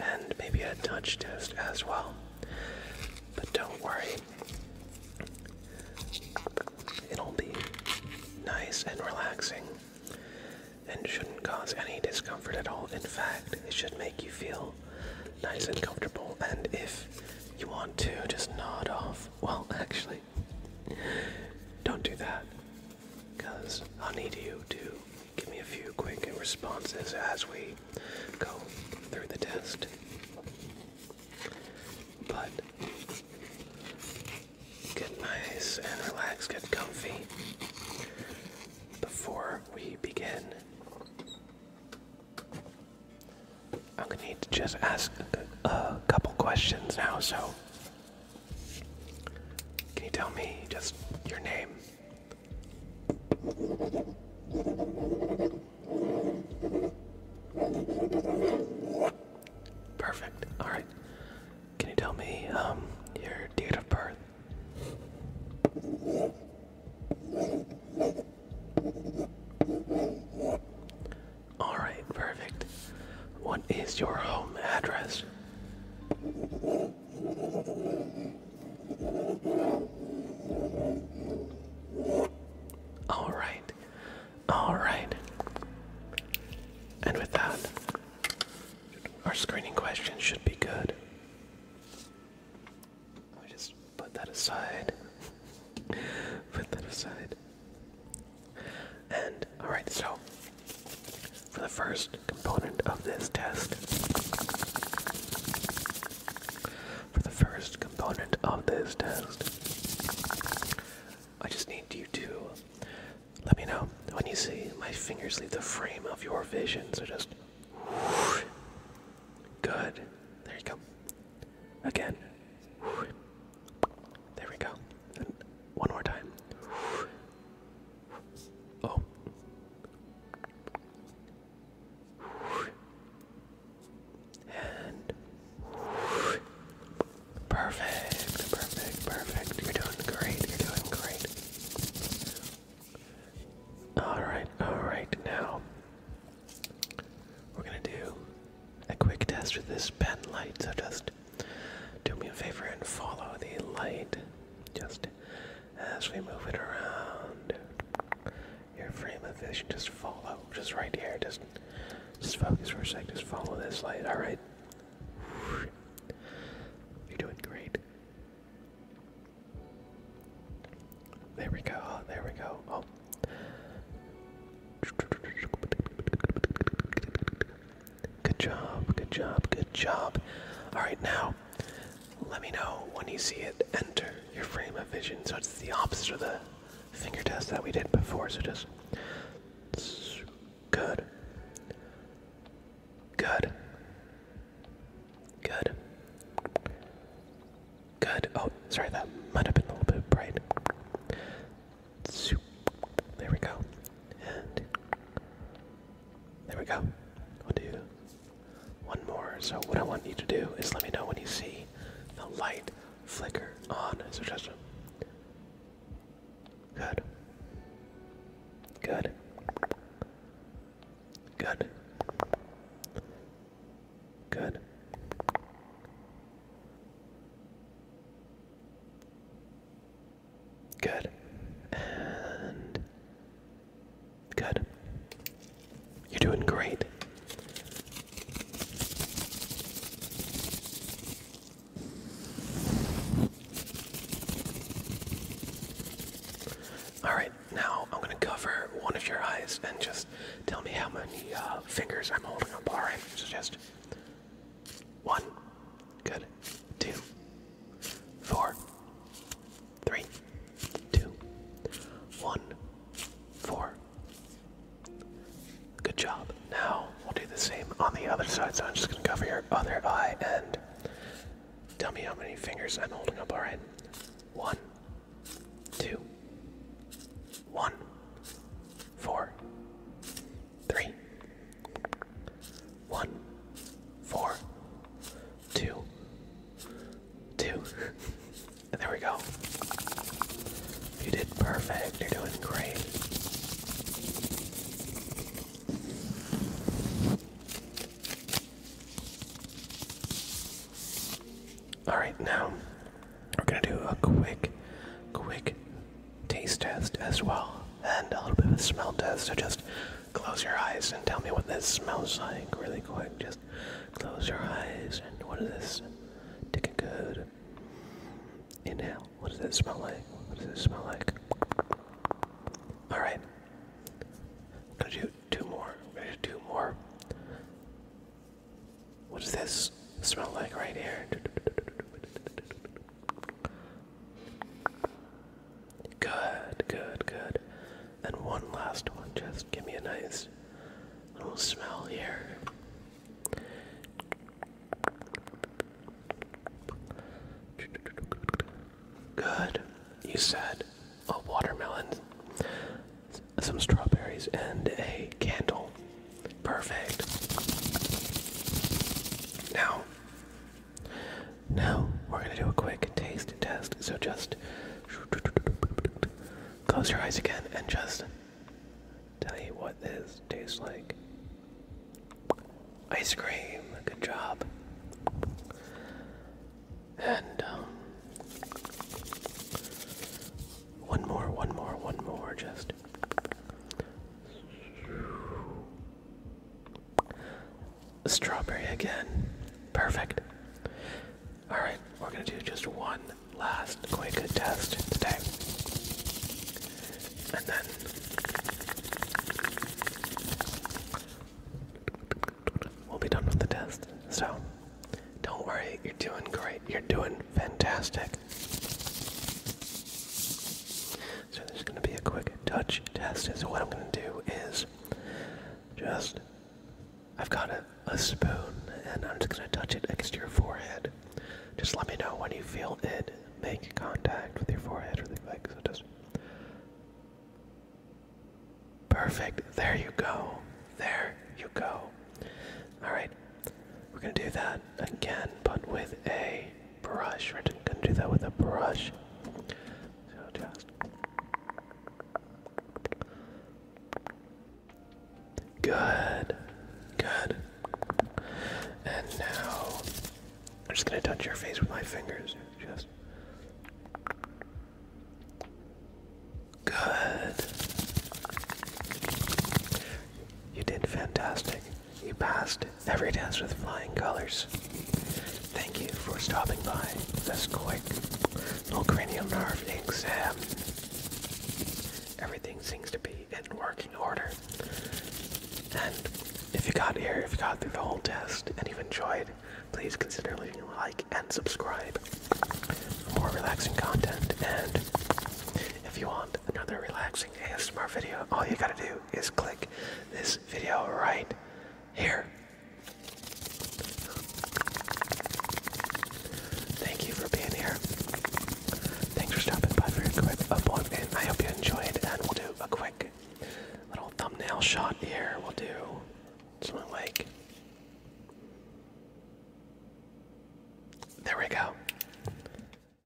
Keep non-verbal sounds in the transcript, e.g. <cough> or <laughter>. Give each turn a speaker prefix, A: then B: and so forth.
A: and maybe a touch test as well. But don't worry, it'll be nice and relaxing and shouldn't cause any discomfort at all. In fact, it should make you feel nice and comfortable. And if you want to, just nod off. Well, actually, don't do that because I'll need you to give me a few quick responses as we go through the test. But get nice and relax, get comfy before we begin. I'm gonna need to just ask a couple questions now, so can you tell me just your name? Perfect. All right. Can you tell me um, your date of birth? All right. Perfect. What is your home address? All right. All right. And with that, our screening question should be good. Let me just put that aside. <laughs> put that aside. And all right, so for the first component of this test. For the first component of this test, I just need you to let me know when you see my fingers leave the frame of your vision. So just. good. There you go. Again. there we go. one more time. Oh. And perfect, perfect, perfect. You're doing great. You're doing great. All right, all right. Now we're gonna do a quick test with this pen light. So just do me a favor and follow the light. Just as we move it around. Your frame of vision, just follow, just right here, just, just focus for a sec, just follow this light, alright? You're doing great. There we go, there we go, oh. Good job, good job, good job. Alright, now, let me know when you see it enter your frame of vision. So it's the opposite of the finger test that we did before, so just. Good. Good. Good. Good. Oh, sorry, that might have been a little bit bright. There we go. And there we go. We'll do one more. So what I want you to do is let me know when you see the light flicker on suggestion. Good. Good. Good. Good. Good. And. Good. You're doing great. Alright, now I'm going to cover one of your eyes and just tell me how many uh, fingers I'm holding up. Alright, so just. One. Good. Two four, three, two, one, four. Good job. Now we'll do the same on the other side. So I'm just going to cover your other eye and tell me how many fingers I'm holding up. All right. One, two, one, four, three, one, four, two, two. and <laughs> there we go. You did perfect. You're doing great. All right, now we're gonna do a quick, quick taste test as well, and a little bit of a smell test. So just close your eyes and tell me what this smells like, really quick. Just close your eyes and what does this? Take a good inhale. What does it smell like? What does it smell like? All right. Could you do more? Could you do more? What does this smell like right here? Good, good, good. And one last one. Just give me a nice little smell here. Good. You said a watermelon, some strawberries, and a candle. Perfect. Now, now we're gonna do a quick taste test. So just close your eyes again and just tell you what this tastes like. Ice cream. Good job. And um, one more, one more, one more. Just. Strawberry again. Perfect. Alright, we're gonna do just one last quick test today. And then. We'll be done with the test. So, don't worry, you're doing great. You're doing fantastic. So there's going to be a quick touch test. so what I'm going to do is just, I've got a, spoon and I'm just going to touch it next to your forehead. Just let me know when you feel it make contact with your forehead or the like. perfect. There you go. There you go. All right. We're going to do that again, but with a brush. We're gonna do that with a brush. So just good, good. And now I'm just gonna touch your face with my fingers. Just good. You did fantastic. You passed every test with flying colors. Thank you for stopping by this quick little cranium nerve exam. Everything seems to be in working order. And if you got here, if you got through the whole test and you've enjoyed, please consider leaving a like and subscribe for more relaxing content. And if you want another relaxing ASMR video, all you gotta do is click this video right here. Thank you for being here. Thanks for stopping by for a quick appointment. I hope you enjoyed, and we'll do a quick little thumbnail shot here. We'll do something like. There we go.